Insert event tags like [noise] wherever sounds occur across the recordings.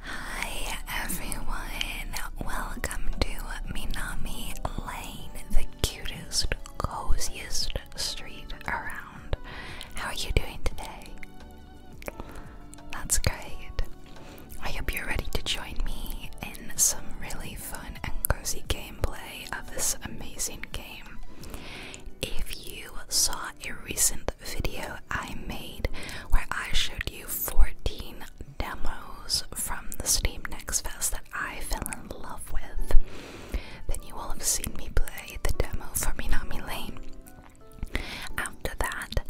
Hi everyone, welcome to Minami Lane, the cutest, coziest street around. How are you doing today? That's great. I hope you're ready to join me in some really fun and cozy gameplay of this amazing game. If you saw a recent video I made where I showed you 14 demos from the Steam Next Fest that I fell in love with, then you will have seen me play the demo for Minami Lane. After that,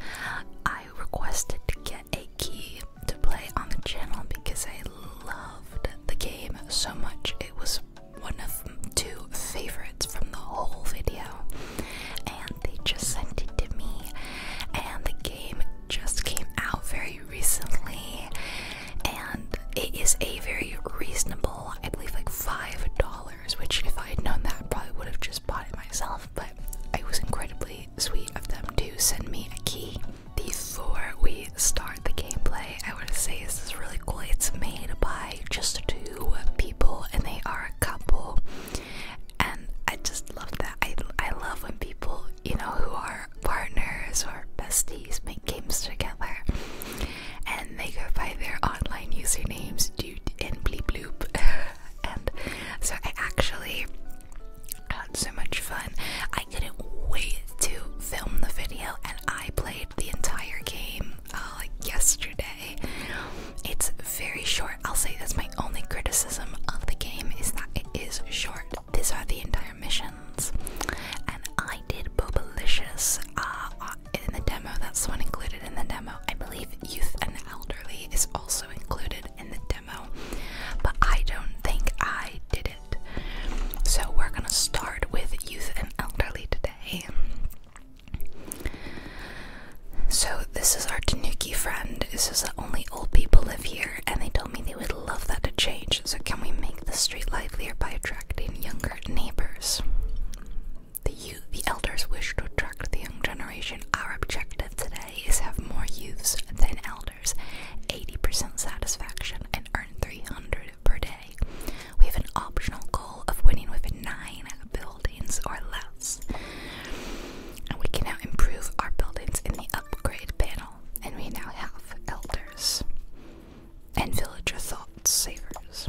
I requested to get a key to play on the channel because I loved the game so much. It was one of two favorite from the whole video, and they just sent it to me. And the game just came out very recently, and it is a very reasonable, I believe, like five dollars. Which, if I had known that, probably would have just bought it myself. But it was incredibly sweet of them to send me a key. Before we start the gameplay, I want to say this is really cool. It's made by just two people, and they are a couple, and I just love that. I I love when people you know who are partners or besties make games together, and they go by their online usernames, dude and bleep bloop, [laughs] and so I actually had so much fun. I couldn't wait to film the video, and I played the entire game uh, like yesterday. It's very short. I'll say that's my only criticism of the game is that it is short. These are the entire missions. And I did Bobalicious uh, uh in the demo. That's one included in the demo. I believe Youth and Elderly is also included in the demo. But I don't think I did it. So we're gonna start with Youth and Elderly today. So this is our Tanuki friend. This says that only old people live here, and they told me they would love that to change. So can we make the street livelier by attracting younger neighbors? The youth, the elders wish to attract the young generation. Our objective today is have more youths than elders, 80% satisfaction, and earn 300 per day. We have an optional goal of winning within nine buildings or less. And we can now improve our buildings in the upgrade panel, and we now have elders and villager thought savers.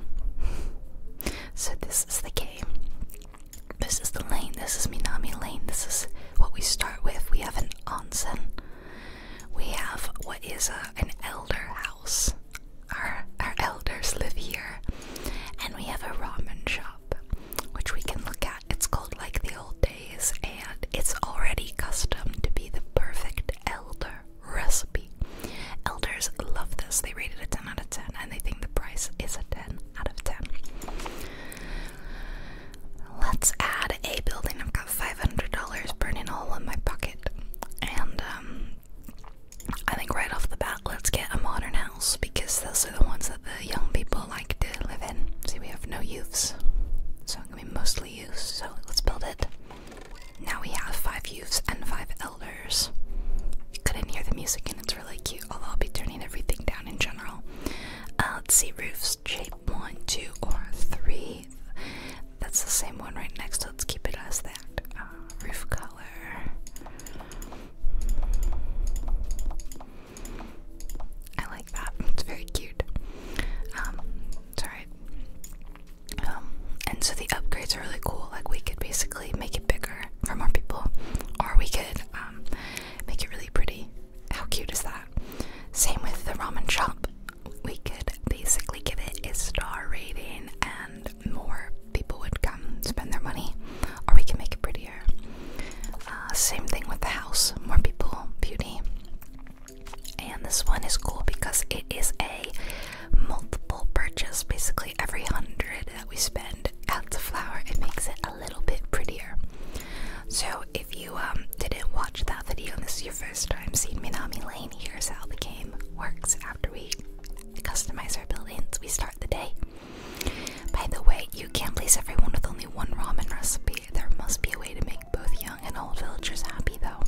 So, this is the game. This is the lane. This is Minami Lane. This is what we start with. We have an onsen. We have what is a, an elder house. Our, our elders live here. And we have a ramen shop which we can look at. It's called Like the Old Days, and it's already custom to be the perfect elder recipe. Elders love this. They rated it a 10 out of 10, and they think the price is a 10 out of 10. Let's add a building. I've got $500 burning all in my pocket, and um, I think right off the bat, let's get a modern house because those are the ones that the young people like to live in. See, we have no youths, so I'm gonna be mostly youths. So let's build it. Now we have five youths and five elders. You couldn't hear the music, and it's really cute. Although I'll be turning everything down in general. Uh, let's see, roofs shape one, two, or three. That's the same one right next. So let's keep it as that. Uh, roof color. I like that. It's very cute. Um, it's alright. Um, and so the upgrades are really cool. Like we could basically make it bigger for more people, or we could um, make it really pretty. How cute is that? Same with the ramen shop. We could basically give it a star rating more people would come spend their money, or we can make it prettier. Uh, same thing with the house, more people, beauty. And this one is cool because it is a multiple purchase. Basically, every hundred that we spend adds a flower, it makes it a little bit prettier. So, if you um, didn't watch that video and this is your first time seeing Minami Lane, here's how the game works. After we customize our buildings, we start the day by the way, you can't please everyone with only one ramen recipe. There must be a way to make both young and old villagers happy, though.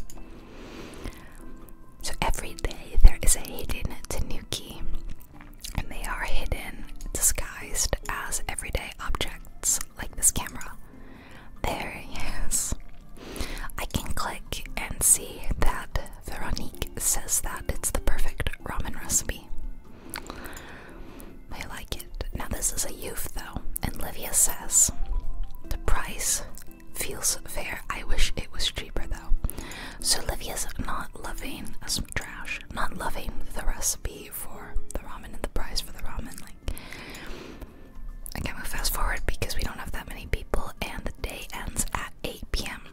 So every day there is a hidden tanuki, and they are hidden, disguised as everyday objects like this camera. There he is. I can click and see that Veronique says that it's the perfect ramen recipe. I like it. Now, this is a youth though, and Livia says the price feels fair. I wish it was cheaper though. So, Livia's not loving some trash, not loving the recipe for the ramen and the price for the ramen. Like, I can't move fast forward because we don't have that many people, and the day ends at 8 p.m.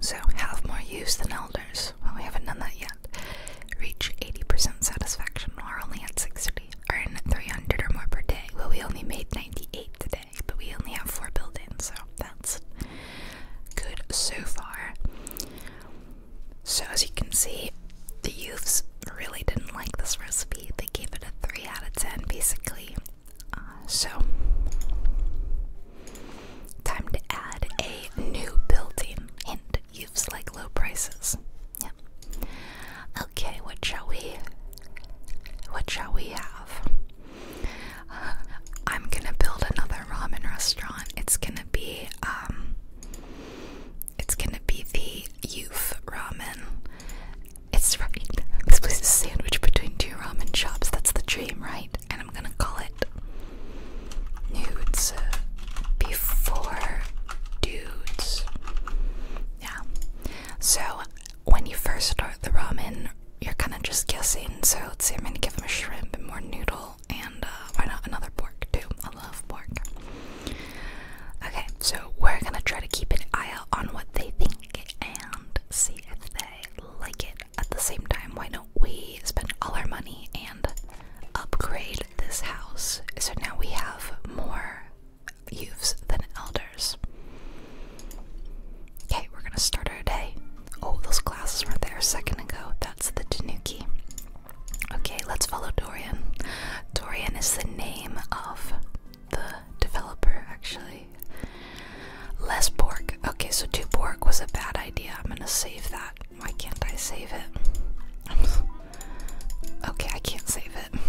So, have more use than elders. Well, we haven't done that yet. Reach 80% satisfaction. We're only at 60. Earn 300 or more per day. Well, we only made 98 today, but we only have four buildings, so that's good so far. So, as you can see, the youths really didn't like this recipe. They gave it a 3 out of 10, basically. Uh, so, time to add a new building. and youth like low prices. Yeah. Okay, what shall we? What shall we have? [sighs] I'm gonna build another ramen restaurant. It's gonna be um. It's gonna be the youth ramen. It's right. This place is sandwiched between two ramen shops. That's the dream, right? And I'm gonna call it nudes before dudes. Yeah. So when you first start the ramen, you're kind of just guessing. So let's see, I'm gonna give them a shrimp and more noodle, and uh, why not another pork too? I love pork. Okay, so we're gonna try to keep an eye out on what they think and see if they like it at the same time, why don't we spend all our money and upgrade this house so now we have more youths than elders? Okay, we're gonna start our day. Oh, those glasses weren't there a second ago. That's the Tanuki. Okay, let's follow Dorian. Dorian is the name of the developer, actually. Less pork. Okay, so two pork was a bad idea. I'm gonna save that. Why can't I save it? okay, I can't save it.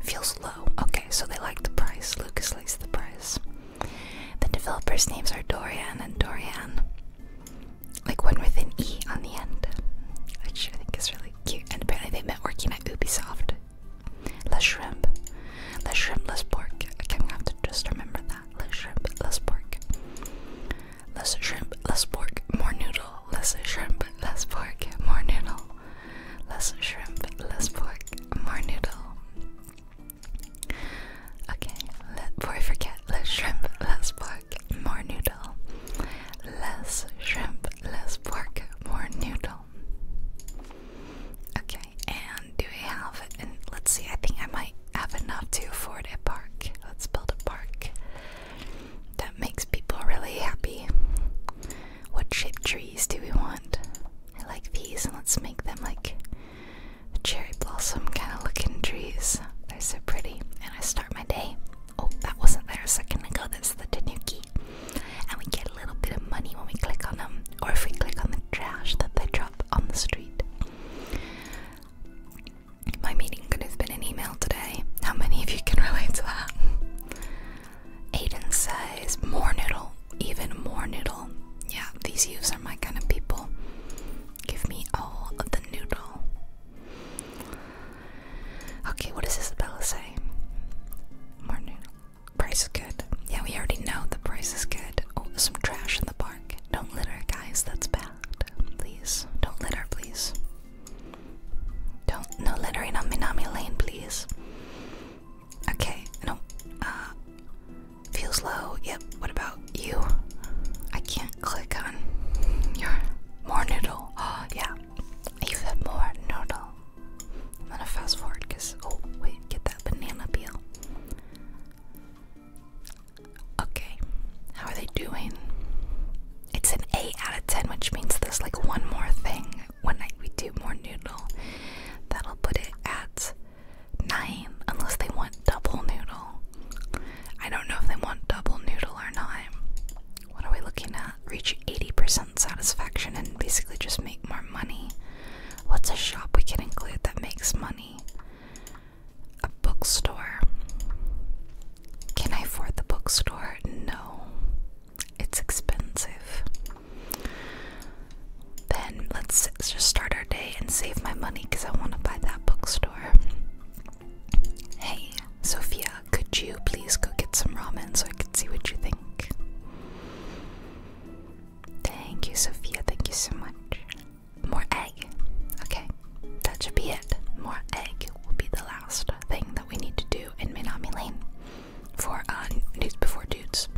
Feels low. Okay, so they like the price. Lucas likes the price. The developers' names are Dorian and Dorian. Like one with an E on the end. Which I think is really cute. And apparently they met working at Ubisoft less shrimp, less shrimp, less pork. I'm gonna have to just remember that. Less shrimp, less pork. Less shrimp, less pork, more noodle. Less shrimp, less pork, more noodle. Less shrimp, less pork, more noodle. Okay, let, before I forget, less shrimp, less pork, more noodle. Less shrimp, less pork, more noodle. Okay, and do we have and let's see, I think I might have enough to afford a park. Let's build a park. That makes people really happy. What shape trees do we want? I like these and let's make them like cherry blossom kind of looking trees. They're so pretty. And I start my day. Oh, that wasn't there a second ago. That's the tanuki. And we get a little bit of money when we click on them. Or if we click on the trash that they drop on the street. My meeting could have been an email today. How many of you can relate to that? Aiden says, more noodle, even more noodle. Yeah, these youths are my kind of people. Give me all of the noodle. Okay, what does Isabella say? More noodle. Price is good. Yeah, we already know the price is good. Oh, some trash in the park. Don't litter, guys. That's bad. Please. Don't litter, please. Don't no littering on Minami Lane, please. Okay, no. Uh feels low. Yep, what about you? I can't click on your more noodle. Oh yeah. You have more noodle. I'm gonna fast forward because oh wait, get that banana peel. Okay, how are they doing? It's an 8 out of 10, which means there's like one more thing. One night we do more noodle. That'll put it at 9, unless they want double noodle. I don't know if they want double noodle or not. What are we looking at? Reach 80% satisfaction and basically just make more money. What's a shop we can include that makes money? A bookstore. Can I afford the bookstore? No. It's expensive. Then let's just start our day and save my money because I want to buy that bookstore. Hey, Sophia, could you please go get some ramen so I can see what you think? Thank you, Sophia. Thank you so much. More egg. Okay, that should be it. More egg will be the last thing that we need to do in Minami Lane for uh, News Before Dudes.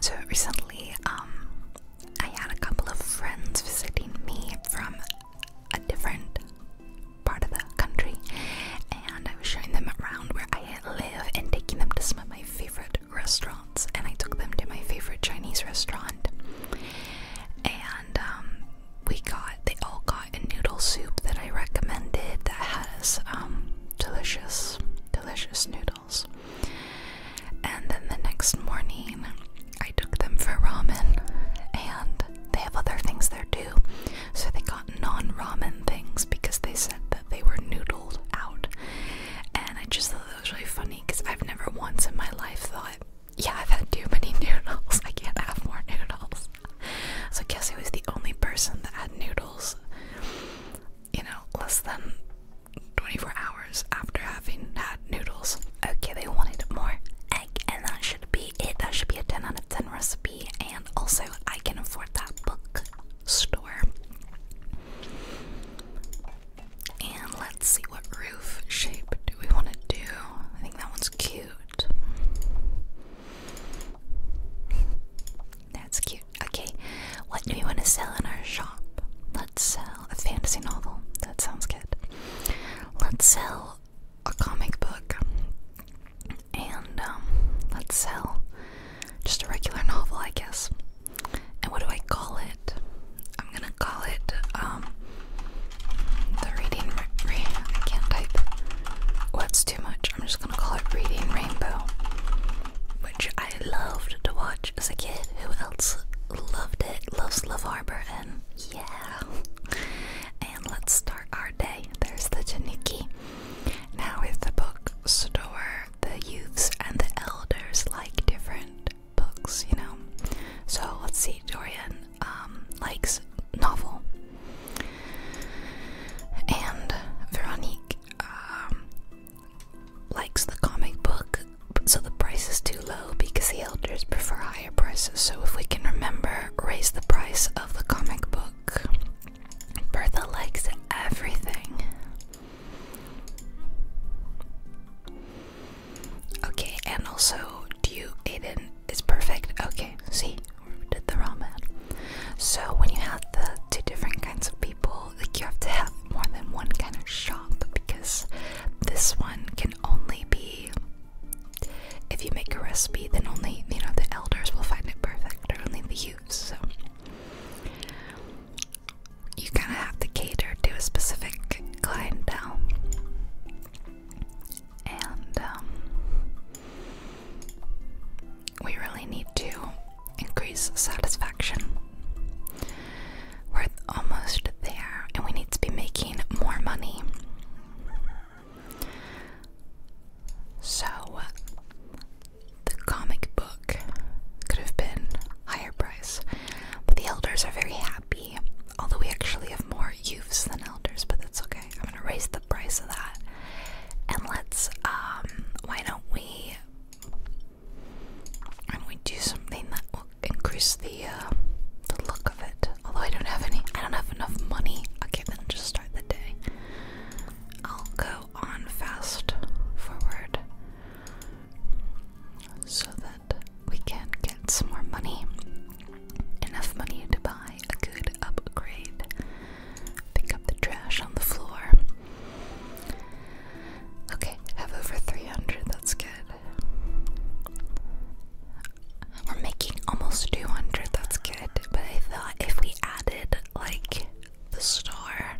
So recently, um, I had a couple of friends visiting me from a different part of the country, and I was showing them around where I live and taking them to some of my favorite restaurants. And I took them to my favorite Chinese restaurant, and um, we got they all got a noodle soup that I recommended that has um, delicious, delicious noodles. And then the next morning, I took them for ramen, and they have other things there too. So they got non ramen things because they said that they were noodled out. And I just thought that was really funny because I've never once in my life thought, yeah, I've had too many [laughs] noodles. I can't have more noodles. So guess Cassie was the only person that had noodles, you know, less than 24 hours after having had noodles. Okay, they wanted more egg, and that should be that should be a 10 out of 10 recipe. And also, I can afford that book store. And let's see what roof shape do we want to do. I think that one's cute. That's cute. Okay, what do we want to sell in our shop? Let's sell a fantasy novel. That sounds good. Let's sell a comic book and um, let's sell just a regular novel, I guess. And what do I call it? I'm gonna call it um, the reading. Ra I can't type. What's oh, too much? I'm just gonna call it Reading Rainbow, which I loved to watch as a kid. Who else loved it? Loves Love Harbor, and yeah. And let's start our day. There's the Janiki. Now, if the book store, the youths and the elders like different books, you know. So let's see, Dorian um, likes novel, and Veronique um, likes the comic book. So the price is too low because the elders prefer higher prices. So if we can remember, raise the price of the comic book. Bertha likes everything. Okay, and also, do Aiden is perfect. Okay, see, did the wrong man. So, when you have the two different kinds of people, like you have to have more than one kind of shop because this one can only be if you make a recipe, then only you know the elders will find it perfect, or only the youths. So you kind of have to cater to a specific clientele, and um, we really need to increase satisfaction. We're almost there, and we need to be making more money. So the comic book could have been higher price, but the elders are very happy. Although we actually have more youths than elders, but that's okay. I'm gonna raise the price of that, and let's. Um, why don't we? And we do something that will increase the uh, the look of it. Although I don't have any, I don't have enough money. Okay, then just start the day. I'll go on fast forward so that we can get some more money. Enough money to buy a good upgrade. Pick up the trash on the floor. Okay, have over 300, that's good. We're making almost 200, that's good. But I thought if we added like the store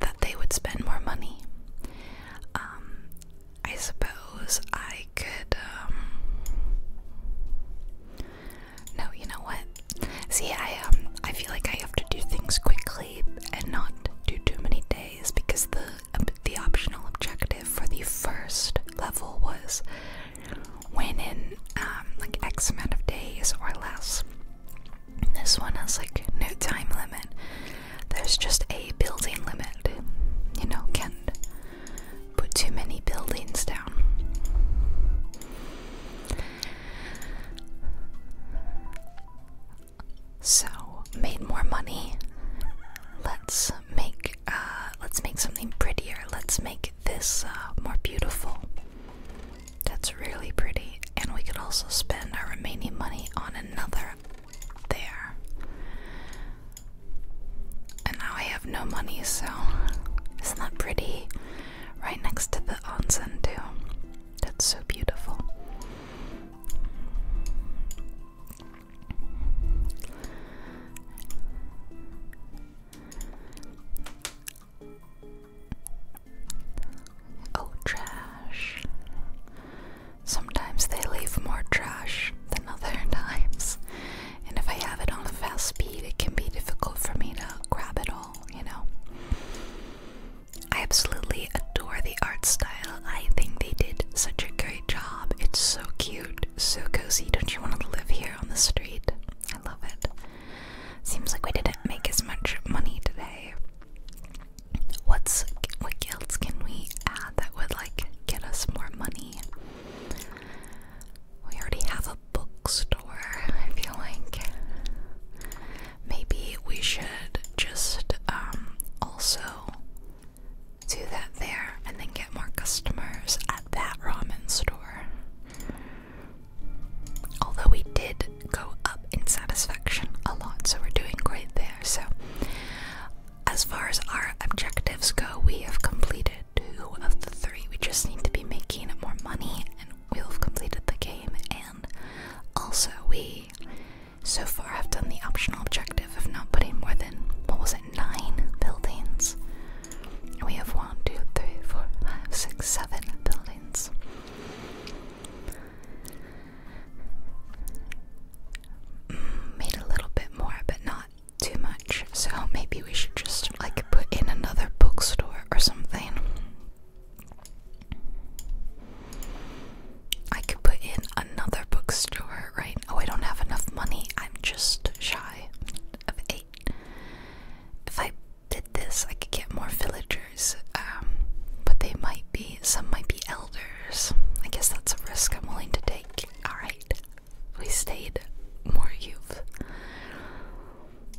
that they would spend more money. Um, I suppose I could. Um, no, you know what? See, I um, I feel like I have to do things quickly and not do too many days because the the optional objective for the first level was when in um, like X amount of days or less. This one has like no time limit. There's just a building limit. You know, can put too many buildings down. So made more money. Let's make uh, let's make something prettier. Let's make this uh, more beautiful. That's really pretty. And we could also spend our remaining money on another there. And now I have no money, so is not that pretty. Right next to the onsen, too. That's so beautiful. Oh, trash. Sometimes they leave more trash than other [laughs] times. And if I have it on a fast speed, it can be difficult for me to grab it all, you know? I absolutely adore the art style. I think they did such a great job. It's so cute, so cozy. Don't you want to live here on the street? I love it. Seems like we didn't make as much money today. What's what guilds can we add that would like get us more money? We already have a bookstore, I feel like. Maybe we should just um also do that there and then get more customers at that ramen store. Although we did go up in satisfaction a lot, so we're doing great there. So, as far as our objectives go, we have completed two of the three. We just need to be making more money, and we'll have completed the game. And also, we so far have done the optional objective of not putting more than what was it, nine buildings we have one, two, three, four, five, six, seven buildings. Mm, made a little bit more, but not too much. So maybe we should just like put in another bookstore or something. I could put in another bookstore, right? Oh, I don't have enough money. I'm just shy of eight. If I did this, I could get more villagers, um, but they might be, some might be elders. I guess that's a risk I'm willing to take. Alright, we stayed more youth.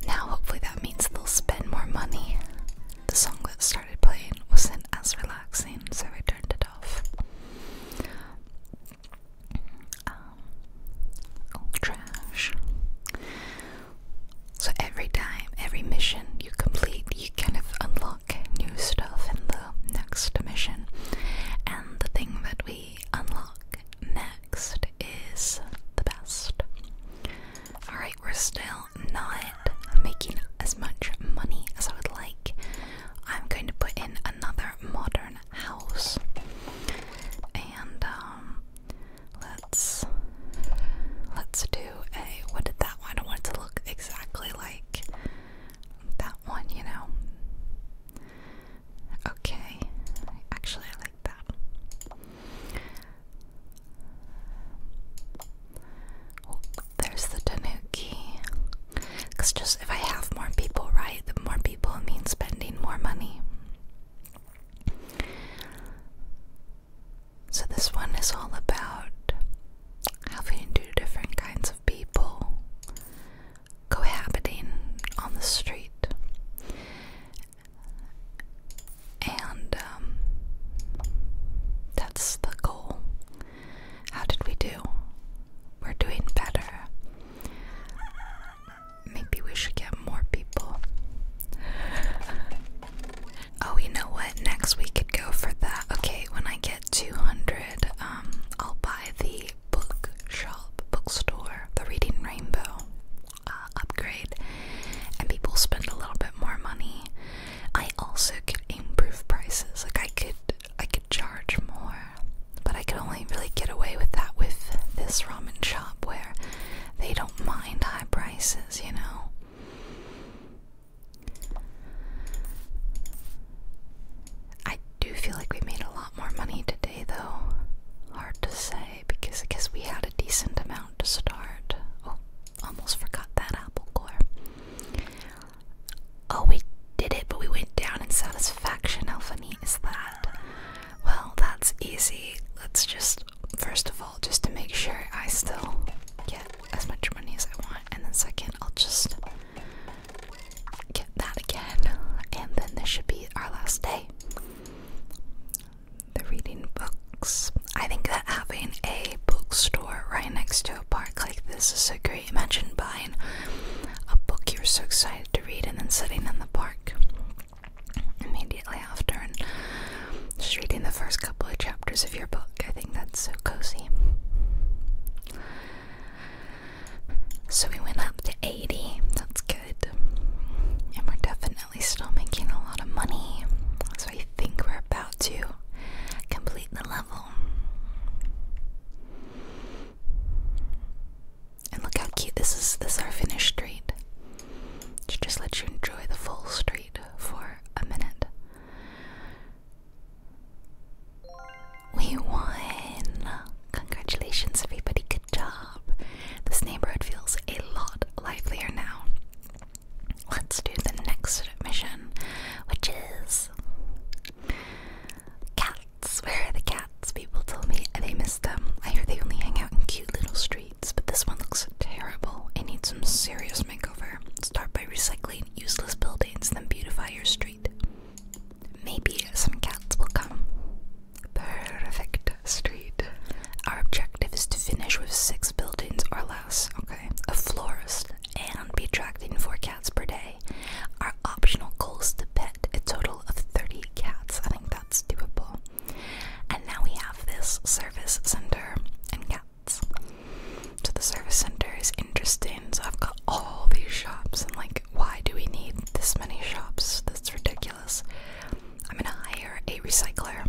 Now, hopefully, that means they'll spend more money. The song that started playing wasn't as relaxing, so I turned it off um, trash. So every time, every mission you complete, you kind of unlock new stuff in the next mission. And the thing that we unlock next is the best. Alright, we're still not making as much money as I would like. I'm going to put in another modern house. And um let's let's do a what did that one? I don't want to look exactly like that one, you know. Okay. Actually I like that. Oh, there's the tanuki. Cause just if I have more people, right? The more people means spending more money. So, this one is all about having two different kinds of people cohabiting on the street. And um, that's the goal. How did we do? We're doing better maybe we should get more people. Oh, you know what? Next we could go for that. Okay, when I get 200, um, I'll buy the bookshop, bookstore, the Reading Rainbow uh, upgrade, and people spend a little bit more money. I also could improve prices. Like I could, I could charge more. But I could only really get away with that with this ramen shop where they don't mind high prices, you know. I do feel like we made a lot more money today, though. Hard to say because I we had a decent amount to start. Oh, almost forgot that apple core. Oh, we did it, but we went down in satisfaction. How funny is that? Well, that's easy. Let's just, first of all, just to make sure I still get as much money as I want, and then second, I'll just get that again, and then this should be our last day. The reading books. I think that having a bookstore right next to a park like this is so great. Imagine buying a book you're so excited to read and then sitting in the park immediately after, and just reading the first couple of chapters of your book. I think that's so cozy. So we went up to 80, that's good. And we're definitely still making a lot of money. So I think we're about to complete the level. And look how cute this is. This is our finished street. To just let you enjoy the full street for a minute. We won! Congratulations, everybody. Good job. This neighborhood feels a lot livelier now. Let's do the next mission, which is cats. Where are the cats? People told me they missed them. I hear they only hang out in cute little streets, but this one looks terrible. It needs some serious makeover. Start by recycling useless buildings, then beautify your street. Maybe some cats will come. Perfect street. Our objective is to finish with six buildings or less. Okay. A florist and be attracting four cats per day. Our optional goals to pet a total of 30 cats. I think that's doable. And now we have this service center and cats. So the service center is interesting. So I've got all these shops, and like, why do we need this many shops? That's ridiculous. I'm gonna hire a recycler,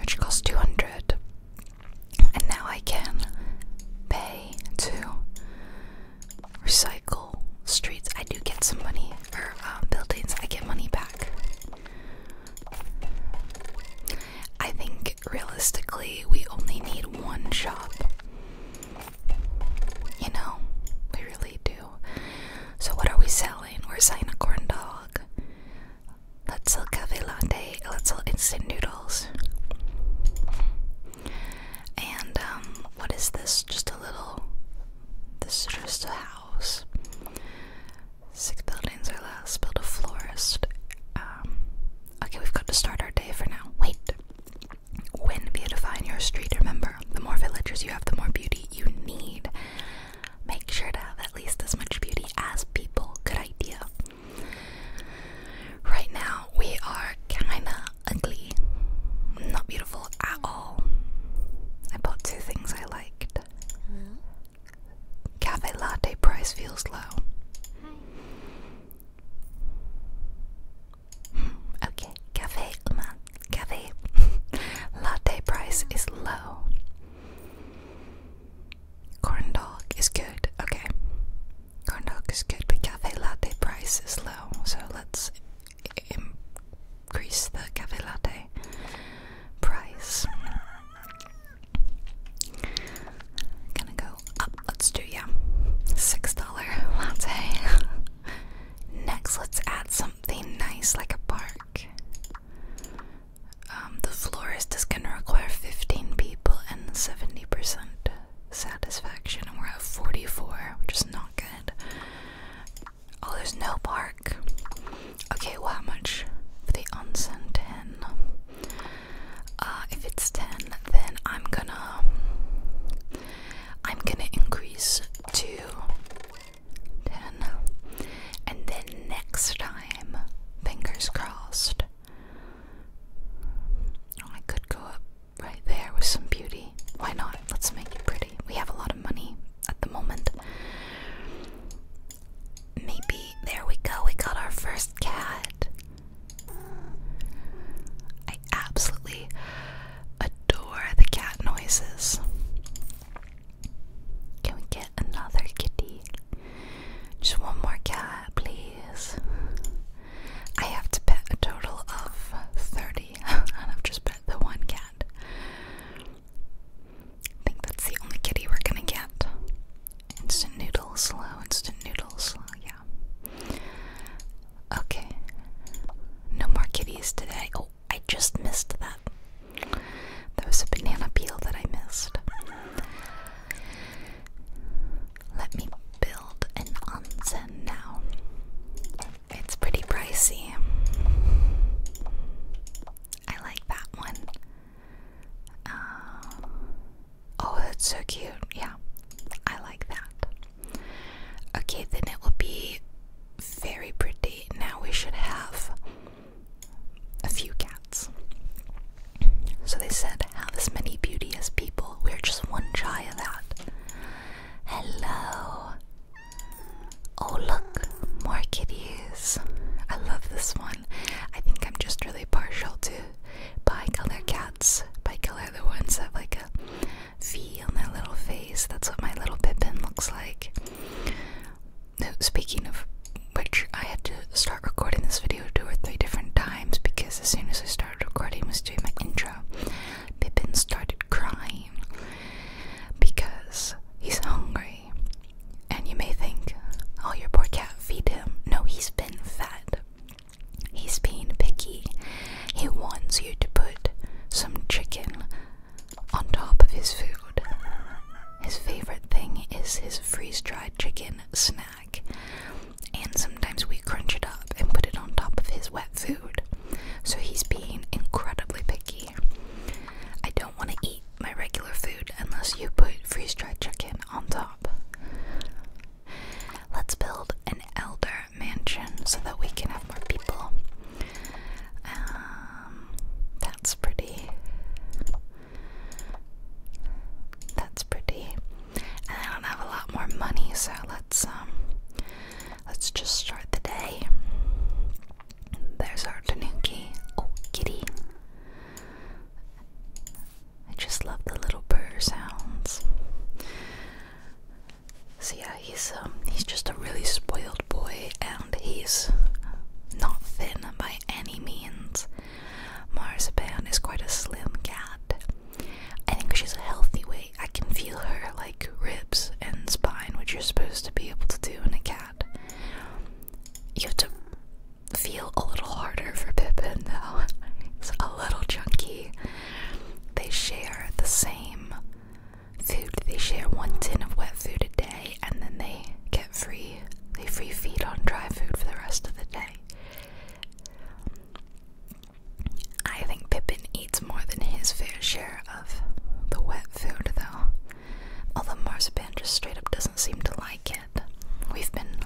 which costs 200. And now I can pay to recycle streets. I do get some money, or um, buildings, I get money back. I think realistically, we only need one shop. You know, we really do. So, what are we selling? We're selling a corn dog. Let's sell cafe latte. Let's sell instant noodles. And um, what is this? Just a little. This is just a house. Six buildings are less. Build a florist. Um, okay, we've got to start our day for now. Wait. When beautifying your street, remember, the more villagers you have, the more beauty you need. Make sure to have at least as much beauty as people. Good idea. Right now, we are kinda ugly, not beautiful at all. I bought two things I liked. Hello? Cafe latte price feels low. Hi. Hmm, okay, cafe, man, cafe [laughs] latte price is low. Corn dog is good. Okay, corn dog is good, but cafe latte price is low. So let's increase the cafe price. Gonna go up. Let's do yeah, six dollar latte. Next, let's add something nice like a park. Um, the florist is gonna require fifteen people and seventy percent satisfaction, and we're at 44, which is not good. Oh, there's no park. Okay, well, how much for the onsen? 10. Uh, if it's 10, then I'm gonna. I'm gonna increase to 10. And then next time, fingers crossed. Oh, I could go up right there with some beauty. Why not? Let's make it pretty. We have a lot of money at the moment. Maybe there we go. We got our first cat. I absolutely adore the cat noises. Can we get another kitty? Just one more cat, please. I have to bet a total of 30 [laughs] I've just pet the one cat. I think that's the only kitty we're gonna get. Instant noodles, slow, instant noodles, slow, yeah. Okay. No more kitties today. Oh, I just missed that. There was a banana peel that I missed. Let me build an onsen now. It's pretty pricey. I like that one. Uh, oh, that's so cute. Yeah, I like that. Okay, then it will be very pretty. Now we should have a few cats. So they said, have as many beauty as people. We're just one shy of that. Hello. Oh, look, more kitties. I love this one. I think I'm just really partial to bicolor cats. Bicolor, the ones that have like a V on their little face. That's what my little Pippin looks like. speaking of which, I had to start recording this video two or three different times because as soon as I started recording, I was doing my intro. Pippin started crying because he's hungry. And you may think, oh, your poor cat, feed him. No, he's been fed. He's being picky. He wants you to put some chicken on top of his food. His favorite thing is his freeze dried chicken snack. And some sometimes we crunch it up and put it on top of his wet food. So he's being incredibly picky. I don't want to eat my regular food unless you put freeze dried chicken on top. Let's build an elder mansion so that we can have more people. Um, that's pretty. That's pretty. And I don't have a lot more money, so let's um Let's just start the day. There's our Tanuki. Oh, kitty. I just love the little purr sounds. So yeah, he's um he's just a really spoiled boy and he's not thin by any means. Marzipan is quite a slim cat. I think she's a healthy weight. I can feel her like ribs and spine, which you're supposed to be able to do in a cat. You have to feel a little harder for Pippin, though. It's [laughs] a little chunky. They share the same food. They share one tin of wet food a day, and then they get free. They free feed on dry food for the rest of the day. I think Pippin eats more than his fair share of the wet food, though. Although Marzipan just straight up doesn't seem to like it. We've been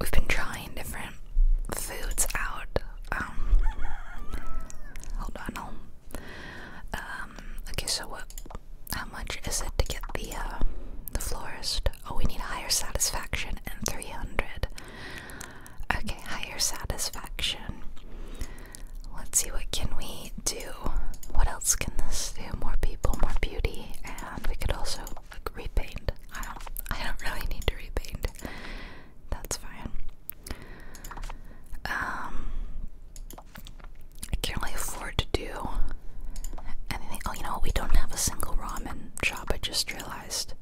we've been trying different foods out. Um, hold on, i um, okay. So what? How much is it to get the uh, the florist? Oh, we need higher satisfaction and three hundred. Okay, higher satisfaction. Let's see what can we do. What else can this do? More people, more beauty, and we could also like repaint. I don't I don't really need to repaint. That's fine. Um I can't really afford to do anything. Oh, you know We don't have a single ramen shop. I just realized.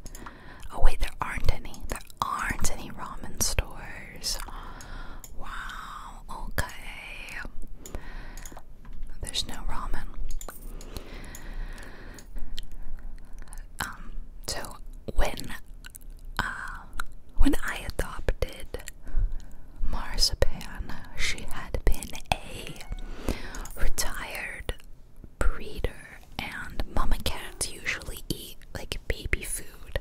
Oh wait, there aren't any. There aren't any ramen stores. Wow, okay. There's no ramen. Um, so when uh when I adopted Marzipan, she had been a retired breeder and mama cats usually eat like baby food.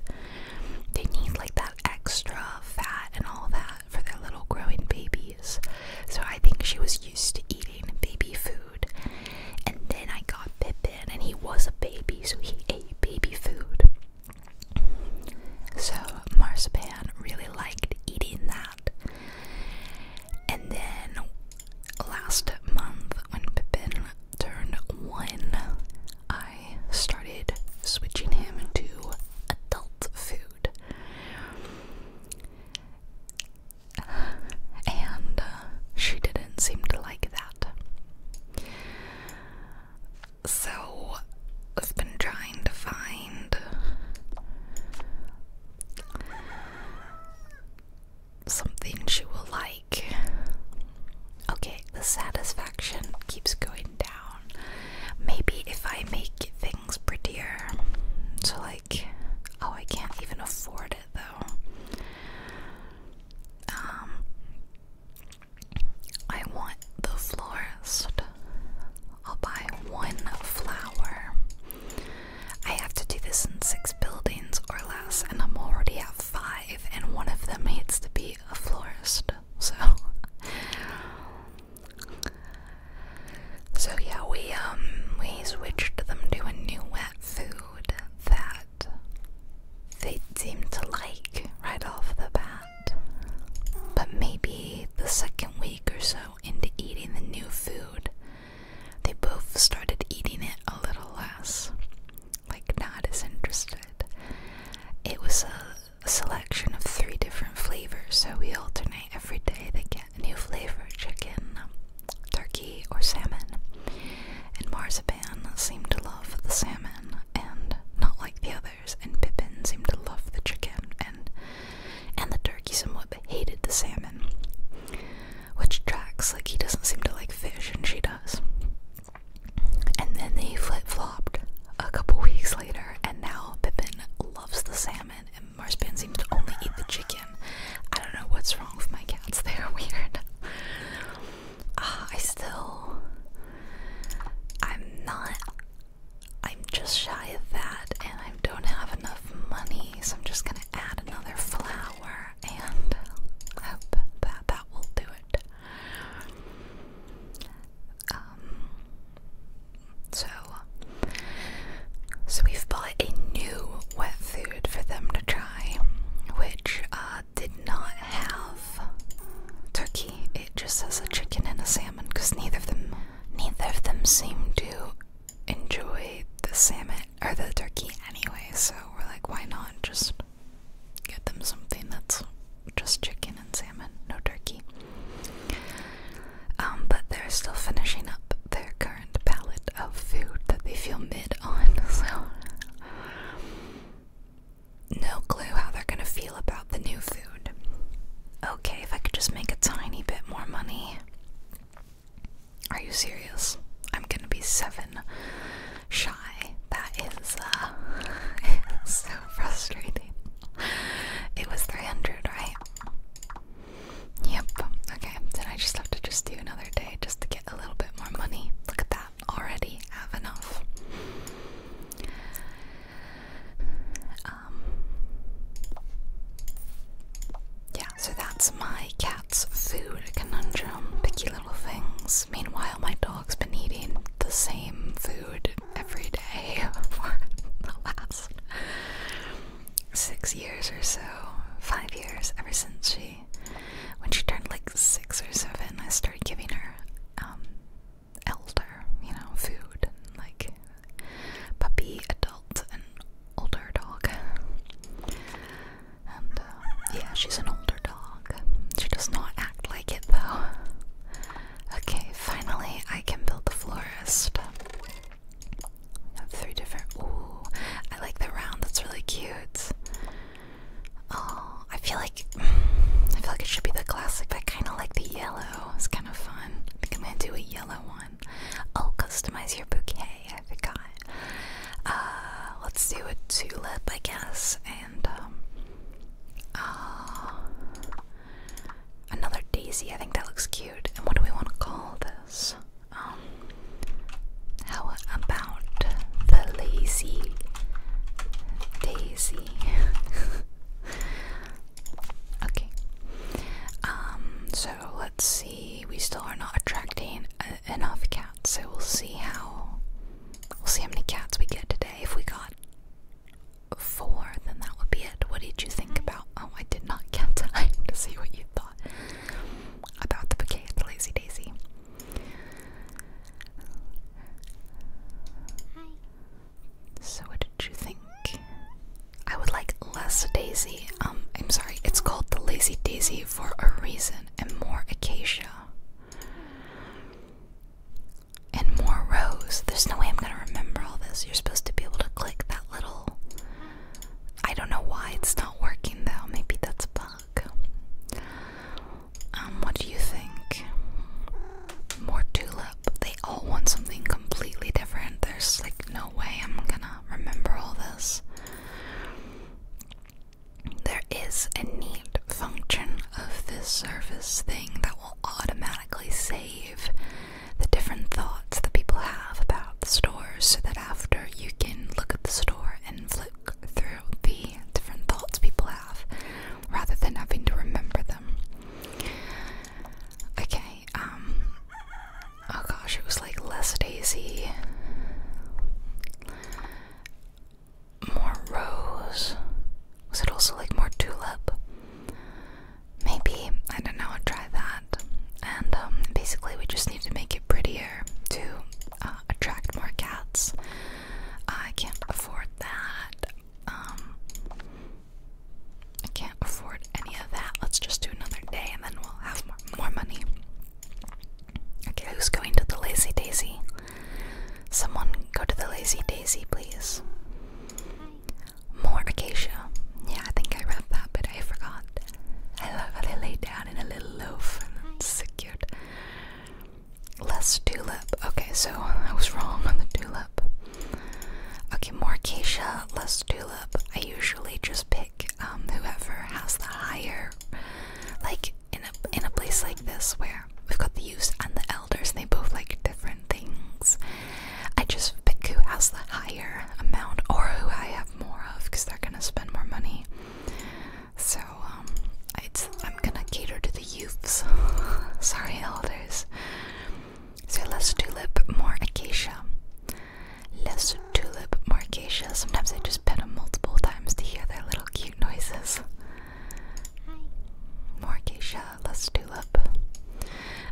They need like that extra fat and all that for their little growing babies. So I think she was used to eating baby food. And then I got Pippin and he was a baby, so he ate baby food. So Marzipan really liked eating that. And then last month when Pippin turned one, I started switching him to adult food. And uh, she didn't seem to like that. So I've been trying to find something she will like. Okay, the satisfaction keeps going down. Maybe if I make things prettier. So, like, oh, I can't even afford it though. Um, I want the florist. I'll buy one flower. I have to do this in six buildings or less, and I'm already at five, and one of them needs to be a florist. So, so yeah, we um we switched them to a new wet food that they seem to like right off the bat. But maybe the second week or so into eating the new food, they both started eating it a little less, like not as interested. It was a, selection of three different flavors, so we alternate every day. They get a new flavor chicken, turkey, or salmon. And Marzipan seemed to love the salmon and not like the others, and Pippin seemed to love the chicken and and the turkey somewhat but hated the salmon which tracks. Like he doesn't seem to like fish, and she does. And then they flip flopped a couple weeks later, and now Pippin loves the salmon, and Marspan seems to only eat the chicken. I don't know what's wrong with my cats; [laughs] they are weird. Ah, I still, I'm not. I'm just shy of that, and I don't have enough money, so I'm just gonna add another flower there, and I hope that that will do it. Um, so, so we've bought a new wet food for them to try, which uh, did not have turkey. It just has a chicken and a salmon, because neither of them, neither of them seem to enjoy the salmon or the turkey anyway, so we're like, why not just get them something that's just chicken and salmon, no turkey. Um, but they're still finishing up their current palette of food that they feel mid on, [laughs] so no clue how they're gonna feel about the new food. Okay, if I could just make a tiny bit more money, are you serious? I'm gonna be seven shy. That is uh, [laughs] so frustrating. It was 300, right? Yep. Okay, then I just have to just do another day just to get a little bit more money. Look at that. Already have enough. Um, yeah, so that's my cat's food conundrum, picky little things. Meanwhile, my dog's been eating the same food every day [laughs] for the last six years or so, five years, ever since she, when she turned like six or seven, I started giving her um, elder, you know, food, and, like puppy, adult, and older dog. And uh, yeah, she's an older dog. She does not act like it though. Okay, finally I can build the florist. I have three different. Ooh, I like the round. That's really cute. Oh, I feel like I feel like it should be the classic, but I kind of like the yellow. It's kind of fun. I am gonna do a yellow one. I'll customize your bouquet. I forgot. Uh, let's do a tulip, I guess, and um, uh, another daisy. I think that looks cute. And what do we want to call this? Um, how about the lazy daisy? [laughs] okay. Um, so let's see. We still are not attracting enough cats, so we'll see how we'll see how many cats we get today. If we got four, then that would be it. What did you think about? Oh, I did not get [laughs] time to see what you thought about the bouquet of the Lazy Daisy. So, what did you think? I would like less daisy. Um, I'm sorry, it's called the Lazy Daisy for a reason, and more acacia. And more rose. There's no way I'm gonna remember all this. You're supposed to be able to click that little. I don't know why it's not working though. Maybe that's a bug. Um, what do you think? More tulip. They all want something completely different. There's like no way I'm gonna remember all this. There is a neat function of this service thing that will automatically save the different thoughts that people have about the stores so that after you can look at the store and flick through the different thoughts people have rather than having to remember them. Okay, um, Oh gosh, it was like less daisy, more rose. Was it also like more tulip? Maybe. I don't know, I'll try that. And um, basically, we just need to make it prettier to uh, attract more cats. I can't afford that. Um, I can't afford any of that. Let's just do another day and then we'll have more money. Okay, who's going to the Lazy Daisy? Someone go to the Lazy Daisy, please. More acacia. Yeah, I think I read that, but I forgot. I love how they lay down in a little loaf, and it's so cute. Less tulip. Okay, so I was wrong on the tulip. Okay, more acacia, less tulip. I usually just pick um, whoever has the higher, like in a in a place like this where we've got the youth and the elders, and they both like different things. I just pick who has the higher amount or who I have more of, because they're gonna spend more money. So um, it's I'm gonna cater to the youth. [laughs] Sorry, elders. So let's do lip more acacia. Less Tulip more acacia. Sometimes I just pet them multiple times to hear their little cute noises. More acacia, less tulip.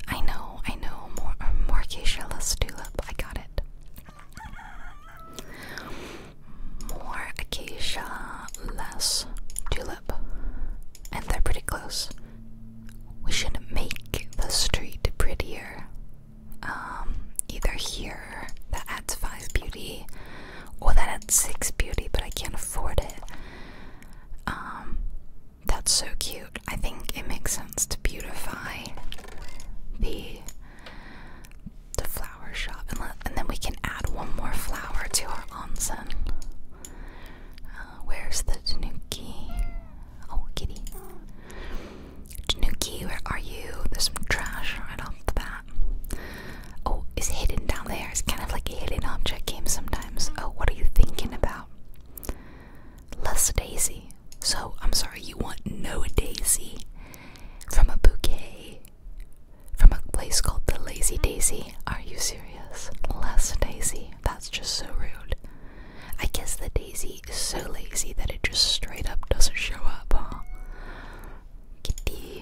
I know, I know. more um, acacia, less tulip. I got it. More acacia, less tulip. And they're pretty close. We should make the street prettier um, either here that adds 5 beauty or that adds 6 beauty, but I can't afford it. Um, that's so cute. I think it makes sense to beautify the the flower shop, and, then we can add one more flower to our onsen. Uh, where's the tanuki? Oh, kitty. Januki, where are you? There's some trash right off the bat. Oh, it's hidden down there. It's kind of like a hidden object game sometimes. Oh, what are you thinking about? Less daisy. So, I'm sorry, you want no daisy from a bouquet from a place called the Lazy Daisy? Are you serious? Less daisy. That's just so rude. I guess the daisy so lazy that it just straight up doesn't show up, Kitty.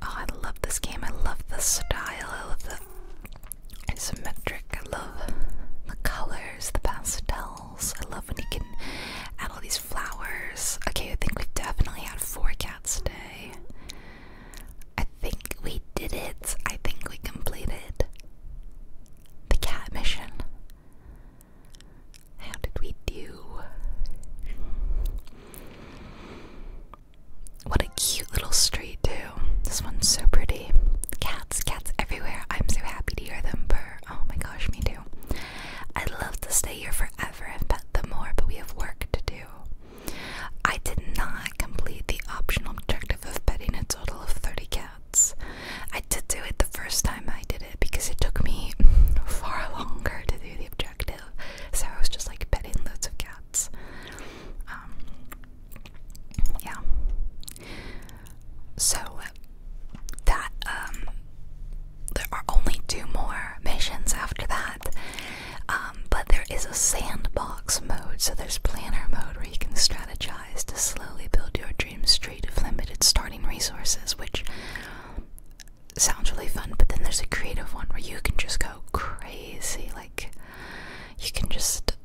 Oh, I love this game. I love the style. I love the isometric. I love the colors, the pastels. I love when you can add all these flowers. Okay, I think we've definitely had four cats today. I think we did it. I think we completed the cat mission. How did we do? What a cute little street, too. This one's so pretty. Cats, cats everywhere. I'm so happy to hear them purr. Oh my gosh, me too. I'd love to stay here forever and pet them more, but we have work to do. I did not complete the optional objective of petting a total of 30 cats. I did do it the first time I did it because it took me [laughs] far longer to do the objective, so I was just like petting loads of cats. Um, yeah. So that um, there are only two more missions after that, um, but there is a sandbox mode, so there's planner mode where you can strategize to slowly build your dream street of limited starting resources, which sounds really fun. But then there's a creative one where you can just go crazy, like you can just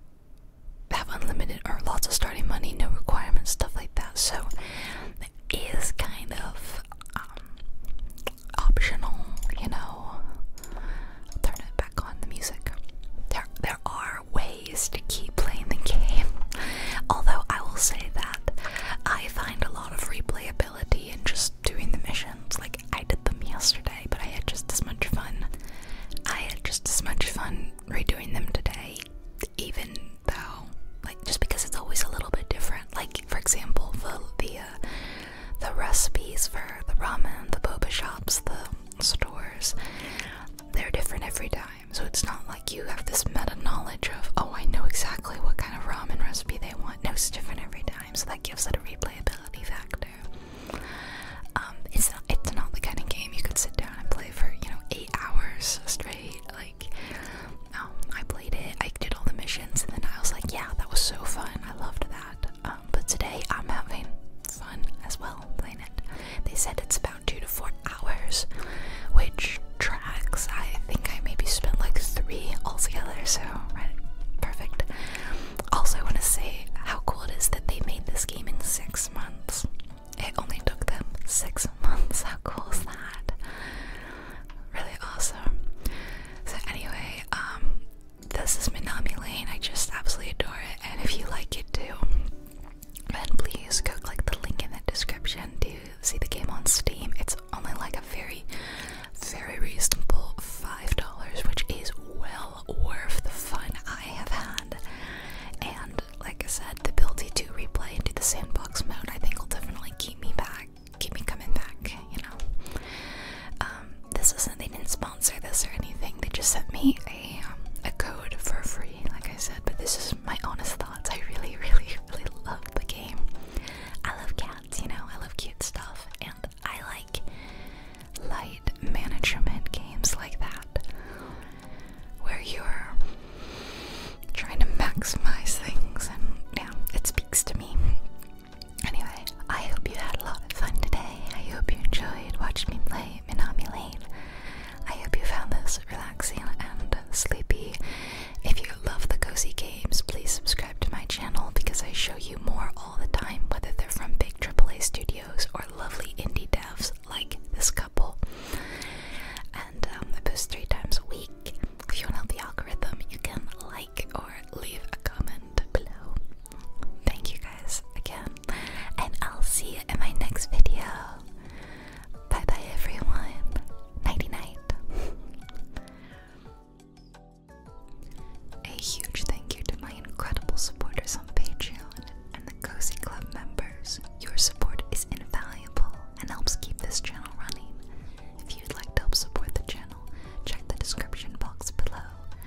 have unlimited or lots of starting money, no requirements, stuff like that. So it is kind of um, optional, you know. turn it on the music. There, there are ways to keep playing the game, [laughs] although I will say that I find a lot of replayability in just doing the missions. Like, I did them yesterday, but I had just as much fun. I had just as much fun redoing them today, even though, like, just because it's always a little bit different. Like, for example, the, the uh, the recipes for the ramen, the boba shops, the stores, they're different every time. So it's not like you have this meta knowledge of, oh, I know exactly what kind of ramen recipe they want. No, it's different every time. So that gives it a replayability factor. Um, it's not, it's not the kind of game you could sit down and play for, you know, eight hours straight. Like, um, I played it, I did all the missions, and then I was like, yeah, that was so fun. I loved that but today I'm having fun as well playing it. They said it's about two to four hours, which tracks. I think I maybe spent like three altogether, so right, perfect. Also, I want to say how cool it is that they made this game in six months. It only took them six months. [laughs] How cool is that? Really awesome. So anyway, um, this is Minami Lane. I just absolutely adore it. And if you like it too, then please go click the link in the description to see the game on Steam. It's only like a very, very reasonable $5, which is well worth the fun I have had. And like I said, the ability to replay into the sandbox mode I think will definitely keep me back, keep me coming back, you know. Um, this isn't. They didn't sponsor this or anything. They just sent me a um, a code for free, like I said. But this is my honest thoughts. I really, [laughs] really, really love the game. I love cats. You know, I love cute stuff, and I like light management games like that, where you're trying to maximize things. And yeah, it speaks to me. Anyway, I hope you had a lot of fun today. I hope you enjoyed watching me play Minami Lane. I hope you found this relaxing and sleepy. If you love the cozy games, please subscribe to my channel because I show you more all the time, whether they're from big AAA studios or lovely indie devs like this couple. And um, I post three times a week. If you want to help the algorithm, you can like or leave a comment below. Thank you guys again, and I'll see you in my next video. Bye bye, everyone. Nighty night. A huge thank you to my incredible supporters on Patreon and the Cozy Club members. Your support is invaluable and helps keep this channel running. If you'd like to help support the channel, check the description box below.